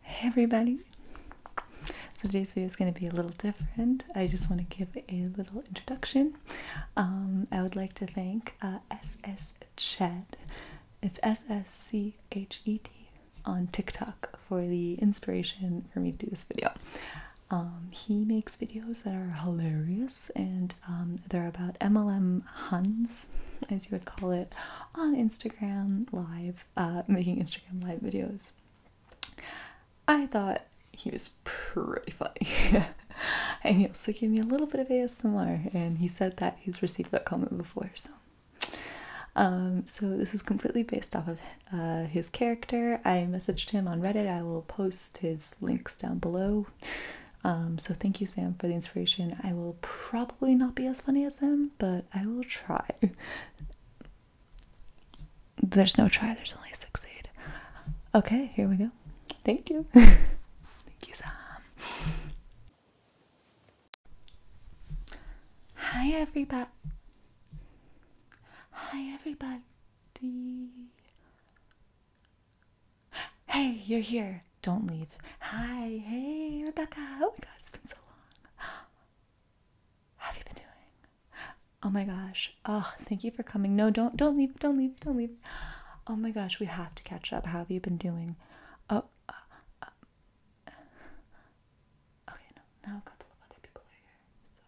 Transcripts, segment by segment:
Hey everybody! So today's video is going to be a little different. I just want to give a little introduction. Um, I would like to thank uh, SS Chat. It's S S C H E T on TikTok for the inspiration for me to do this video. Um, he makes videos that are hilarious and um, they're about MLM Huns, as you would call it, on Instagram Live uh, making Instagram live videos. I thought he was pretty funny. and he also gave me a little bit of ASMR, and he said that he's received that comment before, so. Um, so this is completely based off of uh, his character. I messaged him on Reddit. I will post his links down below. Um, so thank you, Sam, for the inspiration. I will probably not be as funny as him, but I will try. There's no try, there's only succeed. Okay, here we go. Thank you. Thank you, Sam. Hi, everybody. Hi, everybody. Hey, you're here. Don't leave. Hi, hey, Rebecca. Oh my God, it's been so long. have you been doing? Oh my gosh. Oh, thank you for coming. No, don't, don't leave. Don't leave. Don't leave. Oh my gosh, we have to catch up. How have you been doing? Oh. Uh, uh, okay, no, now a couple of other people are here, so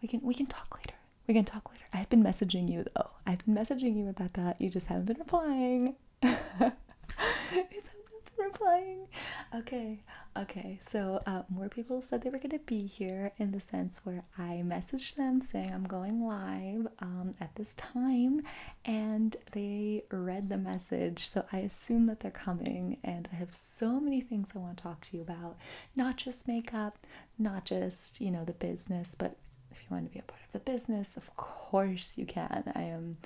we can we can talk later. We can talk later. I've been messaging you though. I've been messaging you, Rebecca. You just haven't been replying. Is that replying? Okay, okay. So uh, more people said they were gonna be here in the sense where I messaged them saying I'm going live um, at this time, and they read the message. So I assume that they're coming, and I have so many things I want to talk to you about. Not just makeup, not just you know the business, but if you want to be a part of the business, of course you can. I am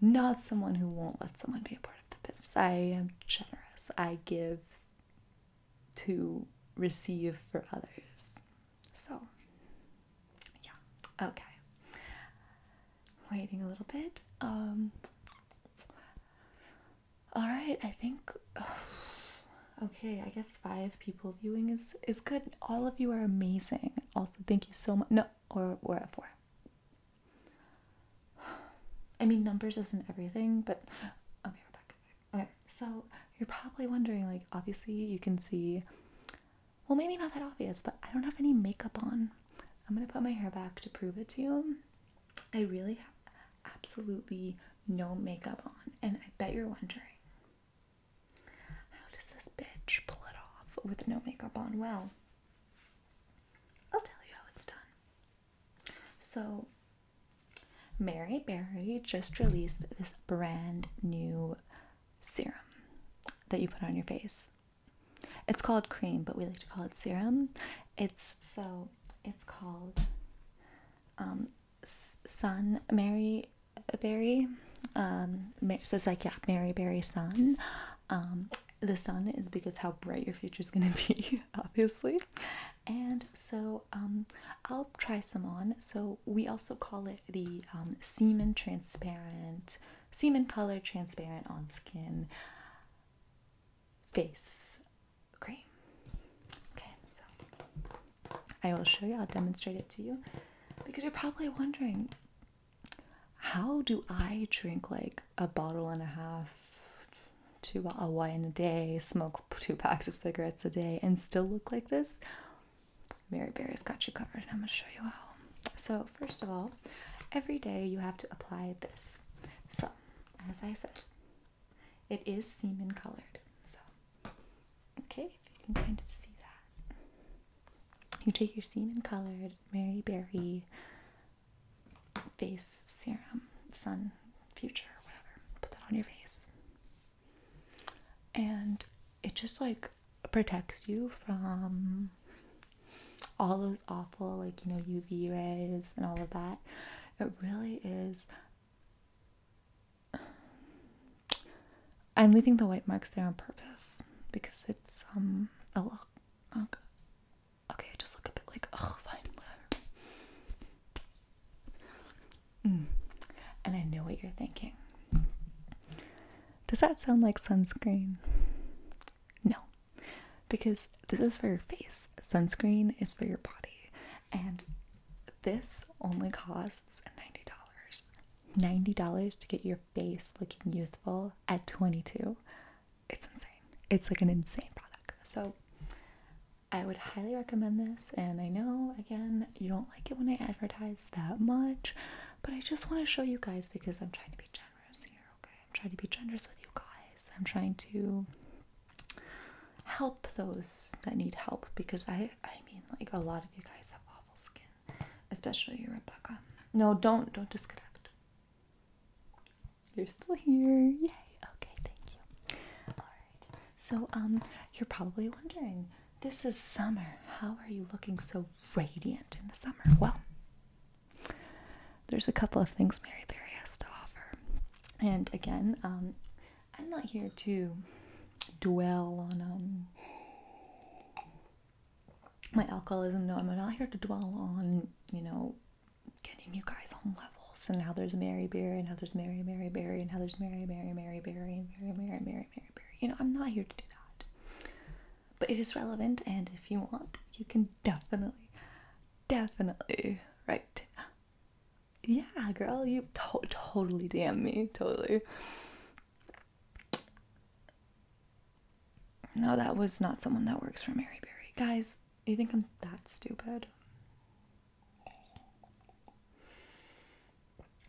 not someone who won't let someone be a part of the business. I am generous. I give to receive for others. So, yeah. Okay. Waiting a little bit. Um All right, I think Okay, I guess 5 people viewing is is good. All of you are amazing. Also, thank you so much. No, or we at four. I mean, numbers isn't everything, but okay, we're back. Okay, so you're probably wondering, like, obviously you can see, well, maybe not that obvious, but I don't have any makeup on. I'm gonna put my hair back to prove it to you. I really have absolutely no makeup on, and I bet you're wondering, how does this bitch pull it off with no makeup on well? I'll tell you how it's done. So, Mary Barry just released this brand new serum that you put on your face. It's called cream, but we like to call it serum. It's so it's called um, Sun Mary a Berry. Um, so it's like, yeah, Mary Berry Sun. Um, the sun is because how bright your future is going to be, obviously. And so um, I'll try some on. So we also call it the um, semen transparent, semen color transparent on skin face cream. Okay, so I will show you, I'll demonstrate it to you because you're probably wondering how do I drink like a bottle and a half two bottles of wine a day, smoke two packs of cigarettes a day, and still look like this? Mary barry has got you covered, and I'm gonna show you how. So, first of all, every day you have to apply this. So, as I said, it is semen colored. So, okay, you can kind of see that. You take your semen colored Mary Berry face serum, sun future, whatever, put that on your face. And it just like protects you from all those awful, like, you know, UV rays and all of that. It really is I'm leaving the white marks there on purpose because it's um a lot. Oh, okay. I just look a bit like oh fine whatever. Mm. And I know what you're thinking. Does that sound like sunscreen? No, because this is for your face. Sunscreen is for your body, and this only costs ninety dollars. $90 to get your face looking youthful at 22. It's insane. It's like an insane product. So I would highly recommend this. And I know, again, you don't like it when I advertise that much, but I just want to show you guys because I'm trying to be generous here, okay? I'm trying to be generous with you guys. I'm trying to help those that need help because I, I mean, like a lot of you guys have awful skin especially you, Rebecca. No, don't, don't disconnect. You're still here. Yay. Okay, thank you. All right. So, um, you're probably wondering, this is summer. How are you looking so radiant in the summer? Well, there's a couple of things Mary Berry has to offer. And again, um, I'm not here to dwell on um my alcoholism. No, I'm not here to dwell on, you know, getting you guys on levels and how there's Mary Berry and how there's Mary Mary Berry and how there's Mary Mary Mary Berry and Mary Mary Mary Mary Berry. You know, I'm not here to do that. But it is relevant and if you want, you can definitely definitely right. Yeah, girl, you to totally damn me. Totally. No, that was not someone that works for Mary Berry. Guys, you think I'm that stupid?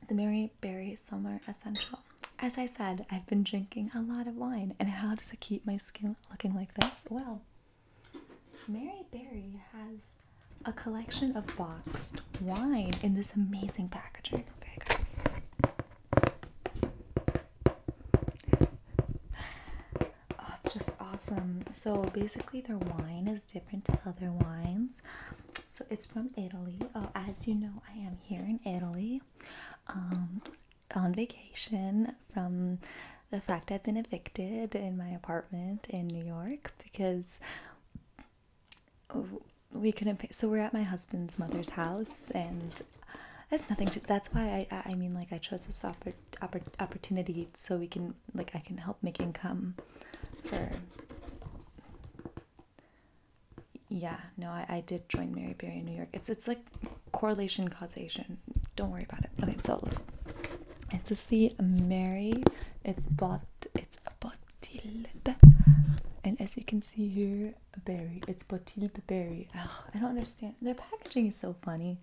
The Mary Berry Summer Essential. As I said, I've been drinking a lot of wine. And how does it keep my skin looking like this? Well, Mary Berry has a collection of boxed wine in this amazing packaging. Okay, guys. Oh, it's just awesome. So basically, their wine is different to other wines. So it's from Italy. Oh, as you know, I am here in Italy, um, on vacation from the fact I've been evicted in my apartment in New York because Oh, we couldn't. So we're at my husband's mother's house, and that's nothing. To, that's why I, I mean, like I chose this oppor oppor opportunity so we can, like, I can help make income for. Yeah, no, I, I did join Mary Berry in New York. It's it's like correlation causation. Don't worry about it. Okay, so it's just the Mary. It's bought. It's Botilbe. And as you can see here, berry. It's Botilbe berry. Oh, I don't understand. Their packaging is so funny.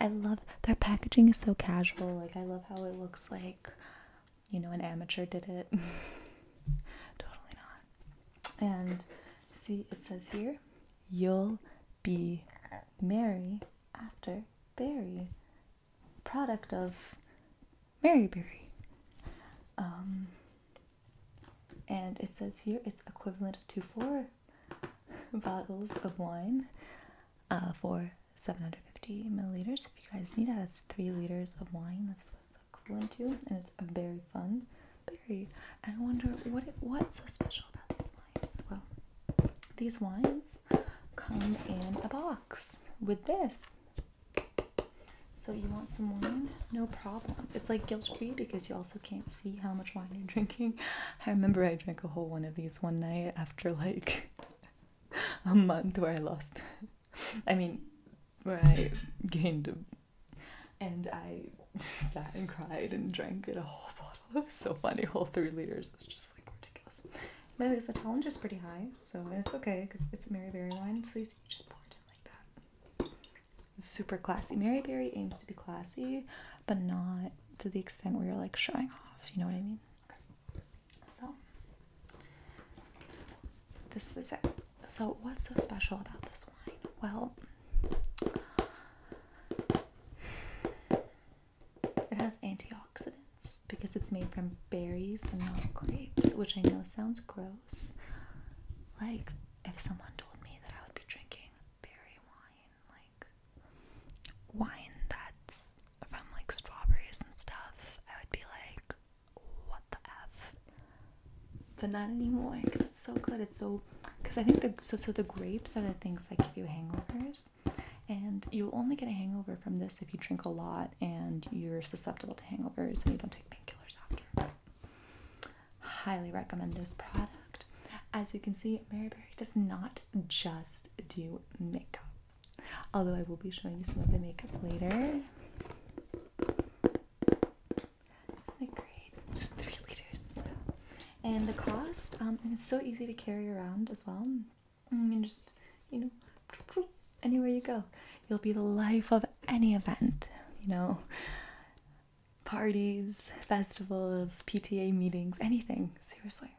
I love their packaging is so casual. Like I love how it looks like, you know, an amateur did it. totally not. And see, it says here, you'll be merry after berry product of Maryberry. Um, and it says here it's equivalent to four bottles of wine uh, for 750 milliliters. If you guys need that, that's three liters of wine. That's what it's equivalent to, and it's very fun berry. I wonder what it, what's so special about these wines. Well, these wines come in a box with this so you want some wine? No problem. It's like guilt-free because you also can't see how much wine you're drinking. I remember I drank a whole one of these one night after like a month where I lost I mean where I gained and I sat and cried and drank it a whole bottle. It was so funny, whole three liters. It's just like ridiculous. Maybe the talent is pretty high, so it's okay because it's a Mary Berry wine, so you just pour it in like that. super classy. Mary Berry aims to be classy, but not to the extent where you're like showing off, you know what I mean? So, this is it. So, what's so special about this wine? Well, it has antioxidants because it's made from berries and not grapes, which I know sounds gross. Like, if someone told me that I would be drinking berry wine, like wine that's from like strawberries and stuff, I would be like, what the F? But not anymore because it's so good. It's so, because I think the, so, so the grapes are the things that give you hangovers. And you'll only get a hangover from this if you drink a lot and you're susceptible to hangovers and you don't take painkillers after. Highly recommend this product. As you can see, Mary Berry does not just do makeup. Although I will be showing you some of the makeup later. Isn't it great? It's three liters. And the cost, um, and it's so easy to carry around as well. And mm, just, you know, anywhere you go, you'll be the life of any event, you know, parties, festivals, PTA meetings, anything. Seriously,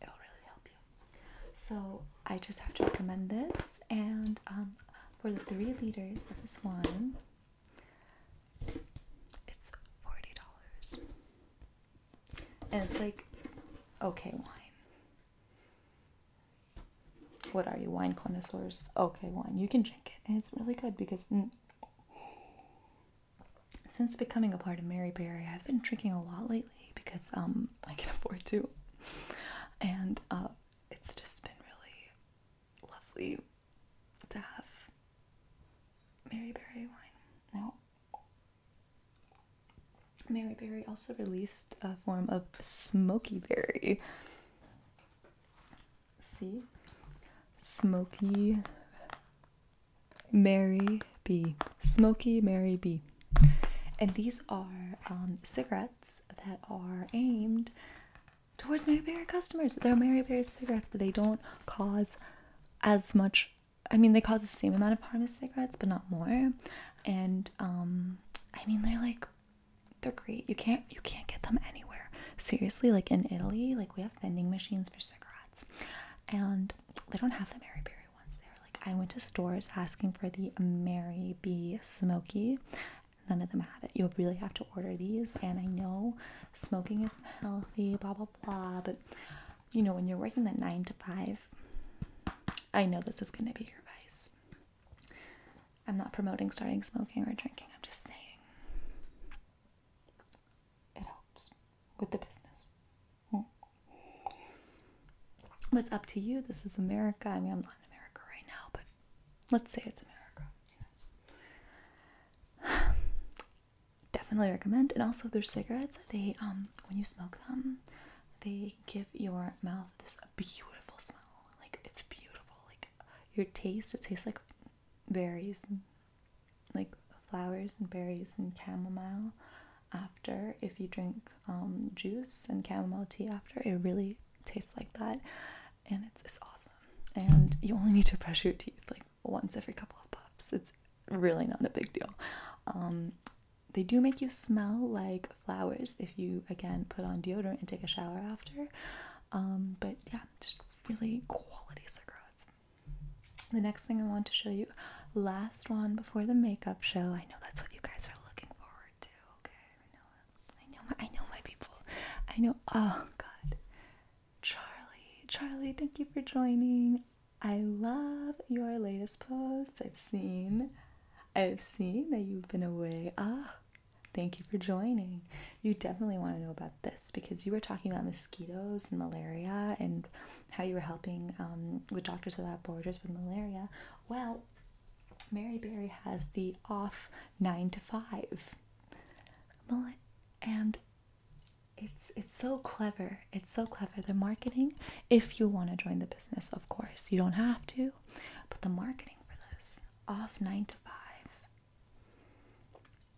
it'll really help you. So, I just have to recommend this, and um, for the three liters of this wine, it's $40. And it's like, okay, wine. What are you, wine connoisseurs? okay, wine. You can drink it. And it's really good because since becoming a part of Mary Berry, I've been drinking a lot lately because um, I can afford to. And uh, it's just been really lovely to have Mary Berry wine. Now, Mary Berry also released a form of smoky berry. See? Smoky Mary B. Smoky Mary B. And these are um, cigarettes that are aimed towards Mary Berry customers. They're Mary Berry cigarettes, but they don't cause as much I mean, they cause the same amount of harm as cigarettes, but not more. And um, I mean, they're like they're great. You can't you can't get them anywhere. Seriously, like in Italy, like we have vending machines for cigarettes, and they don't have the Mary Berry ones there. Like I went to stores asking for the Mary B Smoky. None of them had it. You'll really have to order these. And I know smoking isn't healthy, blah blah blah, but you know, when you're working that nine to five, I know this is going to be your vice. I'm not promoting starting smoking or drinking, I'm just saying it helps with the business. Hmm. But it's up to you. This is America. I mean, I'm not in America right now, but let's say it's America. Definitely recommend. And also, their cigarettes, they um, when you smoke them, they give your mouth this beautiful smell. Like it's beautiful. Like your taste, it tastes like berries, and, like flowers and berries and chamomile. After, if you drink um, juice and chamomile tea after, it really tastes like that, and it's, awesome. And you only need to brush your teeth like once every couple of puffs. It's really not a big deal. Um, they do make you smell like flowers if you again put on deodorant and take a shower after. Um, but yeah, just really quality cigarettes. The next thing I want to show you, last one before the makeup show. I know that's what you guys are looking forward to. Okay, I know I know my, I know my people. I know. Oh God, Charlie, Charlie, thank you for joining. I love your latest posts. I've seen I've seen that you've been away. Ah, thank you for joining. You definitely want to know about this because you were talking about mosquitoes and malaria and how you were helping um, with Doctors Without Borders with malaria. Well, Mary Barry has the off nine to five. And it's it's so clever it's so clever the marketing if you want to join the business of course you don't have to but the marketing for this off 9 to 5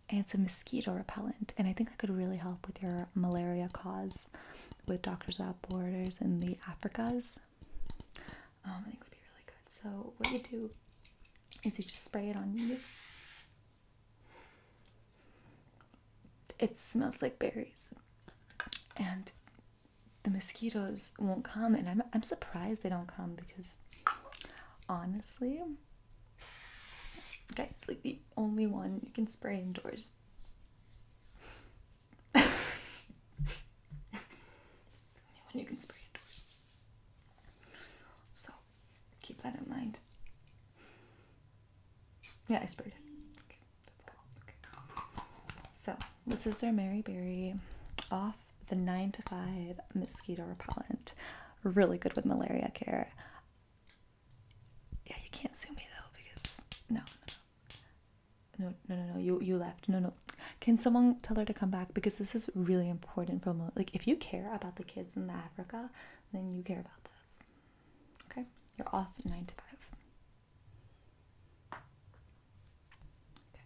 and it's a mosquito repellent and i think that could really help with your malaria cause with doctors without borders in the africas um, i think would be really good so what you do is you just spray it on you it smells like berries. And the mosquitoes won't come, and I'm, I'm surprised they don't come because honestly, guys, it's like the only one you can spray indoors. the only one you can spray indoors. So keep that in mind. Yeah, I sprayed it. Okay, that's good. Okay. So this is their Mary Barry, off the nine to five mosquito repellent. Really good with malaria care. Yeah, you can't sue me though because no, no, no, no, no, no. You you left. No, no. Can someone tell her to come back because this is really important. From like, if you care about the kids in Africa, then you care about this. Okay, you're off nine to five. Okay.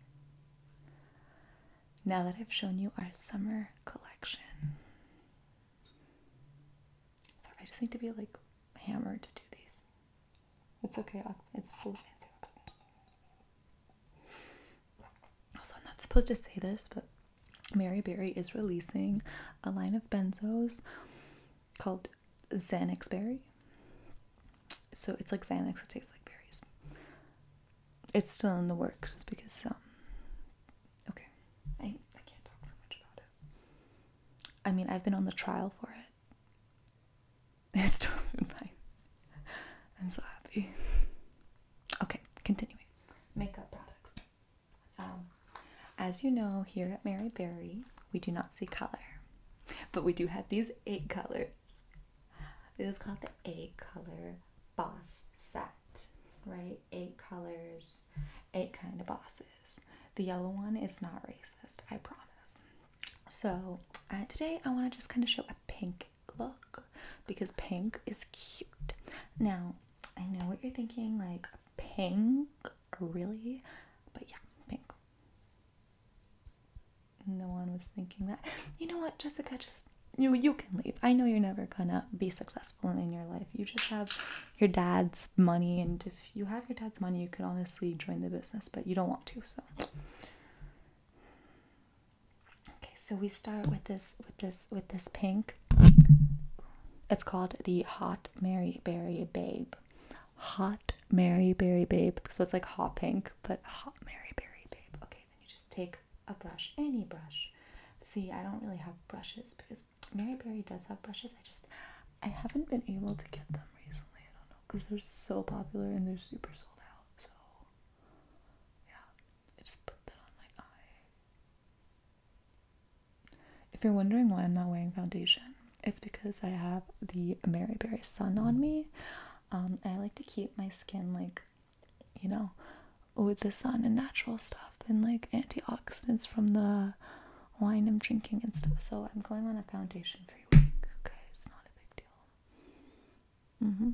Now that I've shown you our summer collection, sorry, I just need to be like hammered to do these. It's okay, it's full of fancy Also, I'm not supposed to say this, but Mary Berry is releasing a line of benzos called Xanax Berry. So it's like Xanax, it tastes like berries. It's still in the works because, um, okay, I, I can't talk so much about it. I mean, I've been on the trial for it. It's totally fine. I'm so happy. Okay, continuing. Makeup products. So, um, as you know, here at Mary Berry, we do not see color, but we do have these eight colors. It is called the eight color boss set, right? Eight colors, eight kind of bosses. The yellow one is not racist, I promise. So, uh, today I want to just kind of show a pink look because pink is cute. Now, I know what you're thinking like, pink, really, but yeah, pink. No one was thinking that. You know what, Jessica, just you you can leave. I know you're never gonna be successful in your life. You just have your dad's money and if you have your dad's money, you could honestly join the business, but you don't want to, so Okay, so we start with this with this with this pink it's called the Hot Mary Berry Babe. Hot Mary Berry Babe. So it's like hot pink, but hot Mary Berry Babe. Okay, then you just take a brush, any brush. See, I don't really have brushes because Mary Berry does have brushes. I just, I haven't been able to get them recently. I don't know because they're so popular and they're super sold out. So, yeah, just put that on my eye. If you're wondering why I'm not wearing foundation, it's because I have the Mary Berry Sun on me, um, and I like to keep my skin like, you know, with the sun and natural stuff and like antioxidants from the wine I'm drinking and stuff. So I'm going on a foundation free week. Okay, it's not a big deal. Mhm.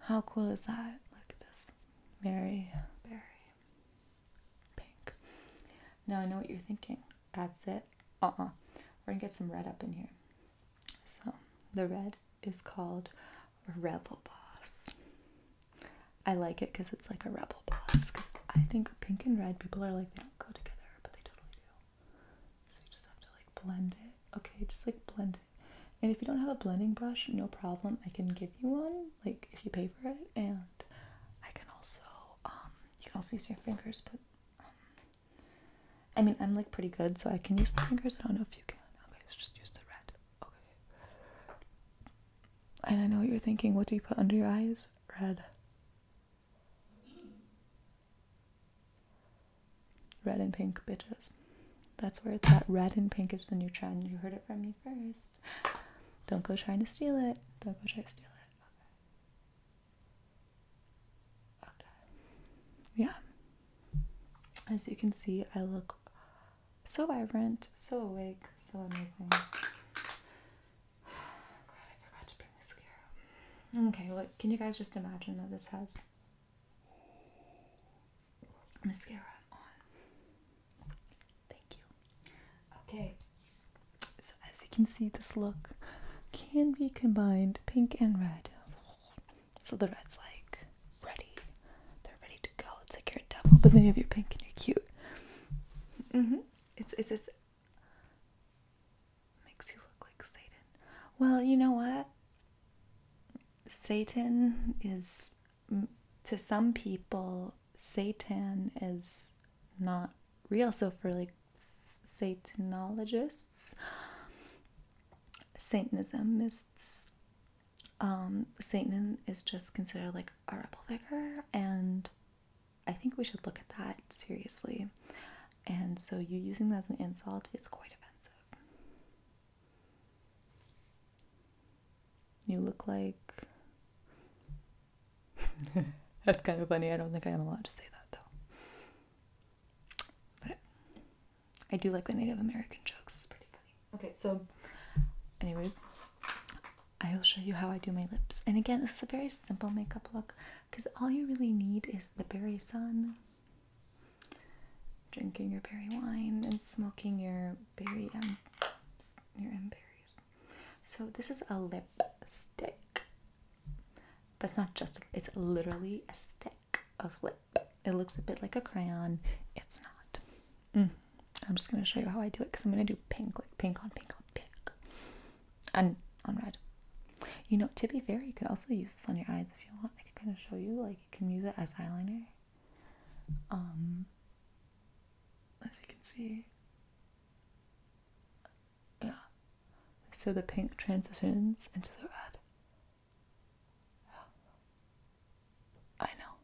How cool is that? Look at this. Very, very Pink. No, I know what you're thinking. That's it. Uh uh we are gonna get some red up in here. So the red is called Rebel Boss. I like it because it's like a Rebel Boss. Because I think pink and red, people are like, they don't go together, but they totally do. So you just have to like blend it. Okay, just like blend it. And if you don't have a blending brush, no problem. I can give you one, like if you pay for it. And I can also, um, you can also use your fingers, but um, I mean, I'm like pretty good, so I can use my fingers. I don't know if you can. Okay, let's just use the red. Okay. And I know what you're thinking. What do you put under your eyes? Red. Red and pink, bitches that's where it's at. Red and pink is the new trend. You heard it from me first. Don't go trying to steal it. Don't go try to steal it. Okay. Yeah. As you can see, I look so vibrant, so awake, so amazing. God, I forgot to bring mascara. Okay, well, can you guys just imagine that this has mascara on. Thank you. Okay, so as you can see, this look can be combined pink and red. So the red's like ready, they're ready to go. It's like you're a devil, but then you have your pink and you're cute. hmm It's it's it's makes you look like Satan. Well, you know what? Satan is to some people, Satan is not real. So for like Satanologists, Satanismists, um, Satan is just considered like a rebel figure, and I think we should look at that seriously. And so, you using that as an insult is quite offensive. You look like. That's kind of funny. I don't think I am allowed to say that though. But I do like the Native American jokes. It's pretty funny. Okay, so, anyways, I will show you how I do my lips. And again, this is a very simple makeup look because all you really need is the berry sun, drinking your berry wine and smoking your berry em your em berries. So this is a lipstick, but it's not just. it's literally a stick of lip. It looks a bit like a crayon. It's not. Mm. I'm just gonna show you how I do it because I'm gonna do pink, like pink on pink on pink, and on red. You know, to be fair, you could also use this on your eyes if you want. I can kind of show you, like you can use it as eyeliner. Um, as you can see, yeah. So the pink transitions into the red. I know.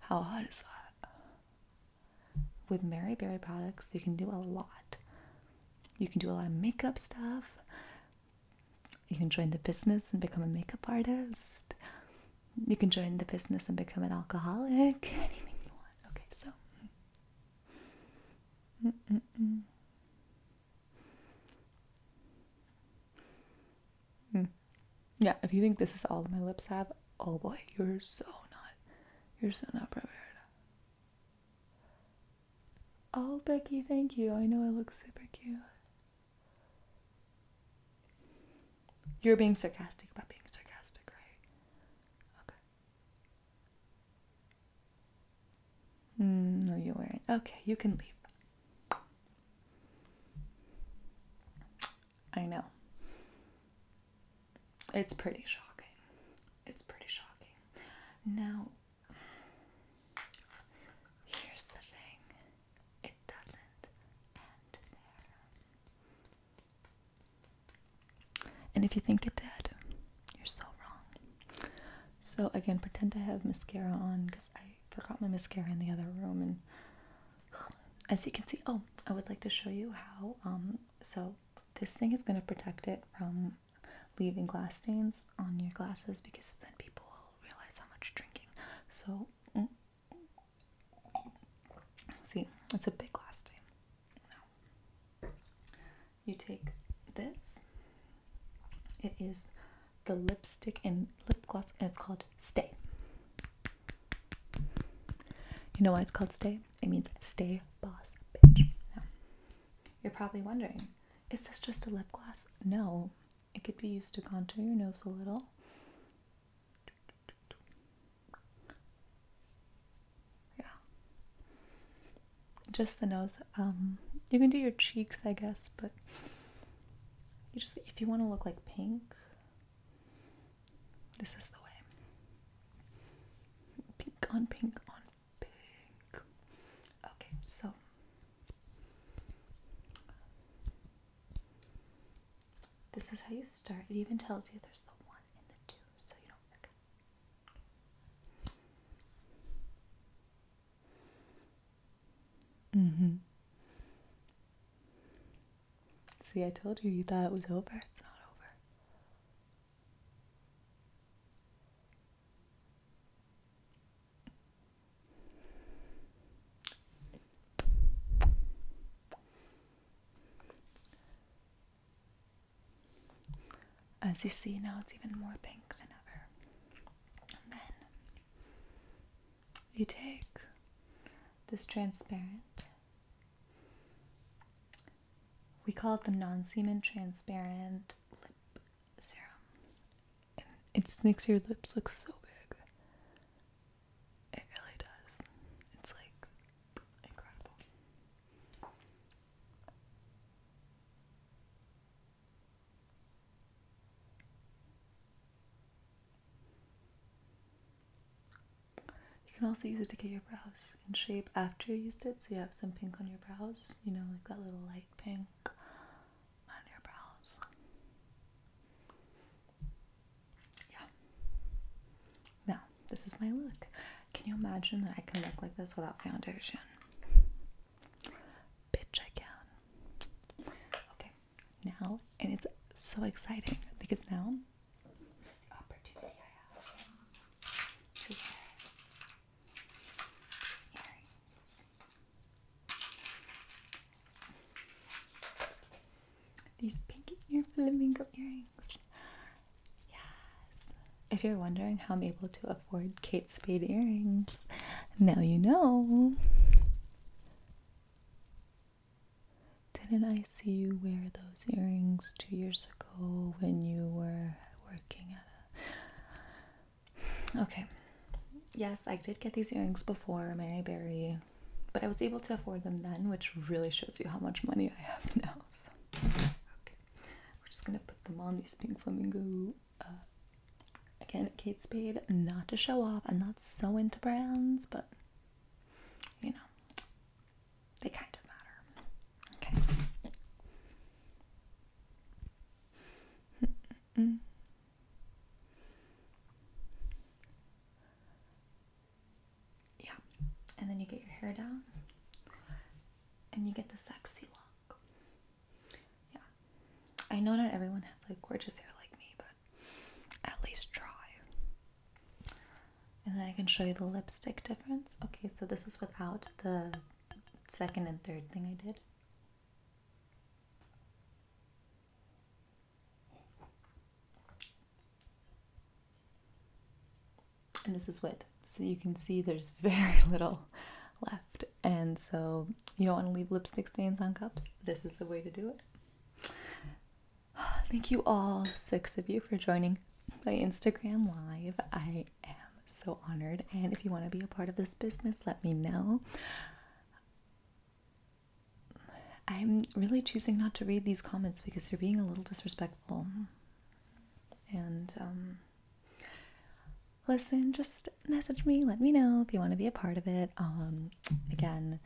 How hot is that? With Mary Berry products, you can do a lot. You can do a lot of makeup stuff. You can join the business and become a makeup artist. You can join the business and become an alcoholic. Anything you want. Okay, so. Yeah, if you think this is all my lips have, oh boy, you're so not, you're so not prepared. Oh, Becky, thank you. I know I look super cute. You're being sarcastic about being sarcastic, right? Okay. Mm, no, you weren't. Okay, you can leave. I know. It's pretty shocking. It's pretty shocking. Now, Here's the thing it doesn't end there. And if you think it did, you're so wrong. So, again, pretend I have mascara on because I forgot my mascara in the other room. And as you can see, oh, I would like to show you how. Um, so, this thing is going to protect it from leaving glass stains on your glasses because then people will realize how much drinking. So, mm. see, that's a big glass stain. Now, you take this. It is the lipstick and lip gloss, and it's called Stay. You know why it's called Stay? It means Stay Boss Bitch. you're probably wondering is this just a lip gloss? No, it could be used to contour your nose a little. Yeah. Just the nose. Um, you can do your cheeks, I guess, but you just, if you want to look like pink, this is the way. Pink on pink on Okay, so this is how you start. It even tells you there's the one and the two, so you don't forget. Mm See, I told you you thought it was over. It's not over. As you see now, it's even more pink than ever. And then you take this transparent, we call it the non semen transparent lip serum. And it just makes your lips look so big. It really does. It's like incredible. You can also use it to get your brows in shape after you used it, so you have some pink on your brows, you know, like that little light pink black your brows. Yeah. Now, this is my look. Can you imagine that I can look like this without foundation? Bitch, I can. Okay, now, and it's so exciting because now this is the opportunity I have to wear these pinky ear flamingo earrings. Yes. If you're wondering how I'm able to afford Kate Spade earrings, now you know. Didn't I see you wear those earrings two years ago when you were working at a Okay. Yes, I did get these earrings before Mary Berry, but I was able to afford them then, which really shows you how much money I have now. So. Okay. We're just gonna put them on these pink flamingo. Uh, again, Kate Spade, not to show off. I'm not so into brands, but you know, they kind of matter. Okay. Yeah, and then you get your hair down and you get the sexy look. Yeah, I know not everyone has like gorgeous hair like me, but at least try. And then I can show you the lipstick difference. Okay, so this is without the second and third thing I did. And this is with, so you can see there's very little left. And so you don't want to leave lipstick stains on cups. This is the way to do it. Thank you all, six of you, for joining my Instagram live. I am so honored. And if you want to be a part of this business, let me know. I'm really choosing not to read these comments because they're being a little disrespectful. And um, listen, just message me, let me know if you want to be a part of it. Um, again,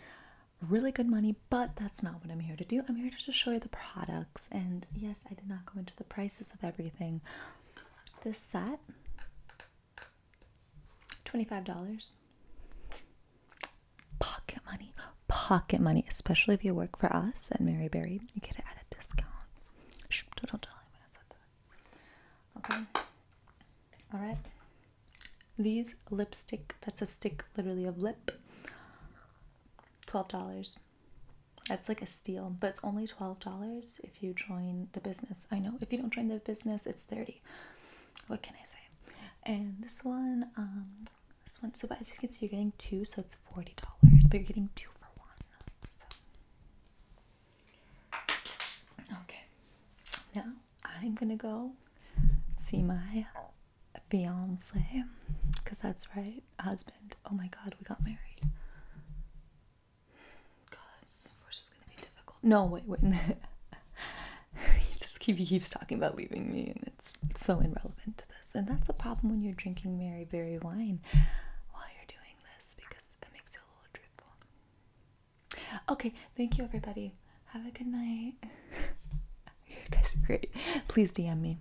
really good money, but that's not what I'm here to do. I'm here to just show you the products. And yes, I did not go into the prices of everything, this set $25. Pocket money. Pocket money. Especially if you work for us at Mary Berry, you get it at a discount. don't tell anyone I said that. Okay. Alright. These lipstick, that's a stick literally of lip. $12. That's like a steal, but it's only $12 if you join the business. I know if you don't join the business, it's 30. What can I say? And this one, um, this one, so as you can see, you're getting two, so it's $40, but you're getting two for one. Okay, now I'm gonna go see my fiance, because that's right, husband. Oh my god, we got married. God, this divorce is gonna be difficult. No, wait, wait. he just keeps talking about leaving me, and it's, so irrelevant to this. And that's a problem when you're drinking Mary Berry wine while you're doing this because that makes it a little truthful. Okay, thank you everybody. Have a good night. you guys are great. Please DM me.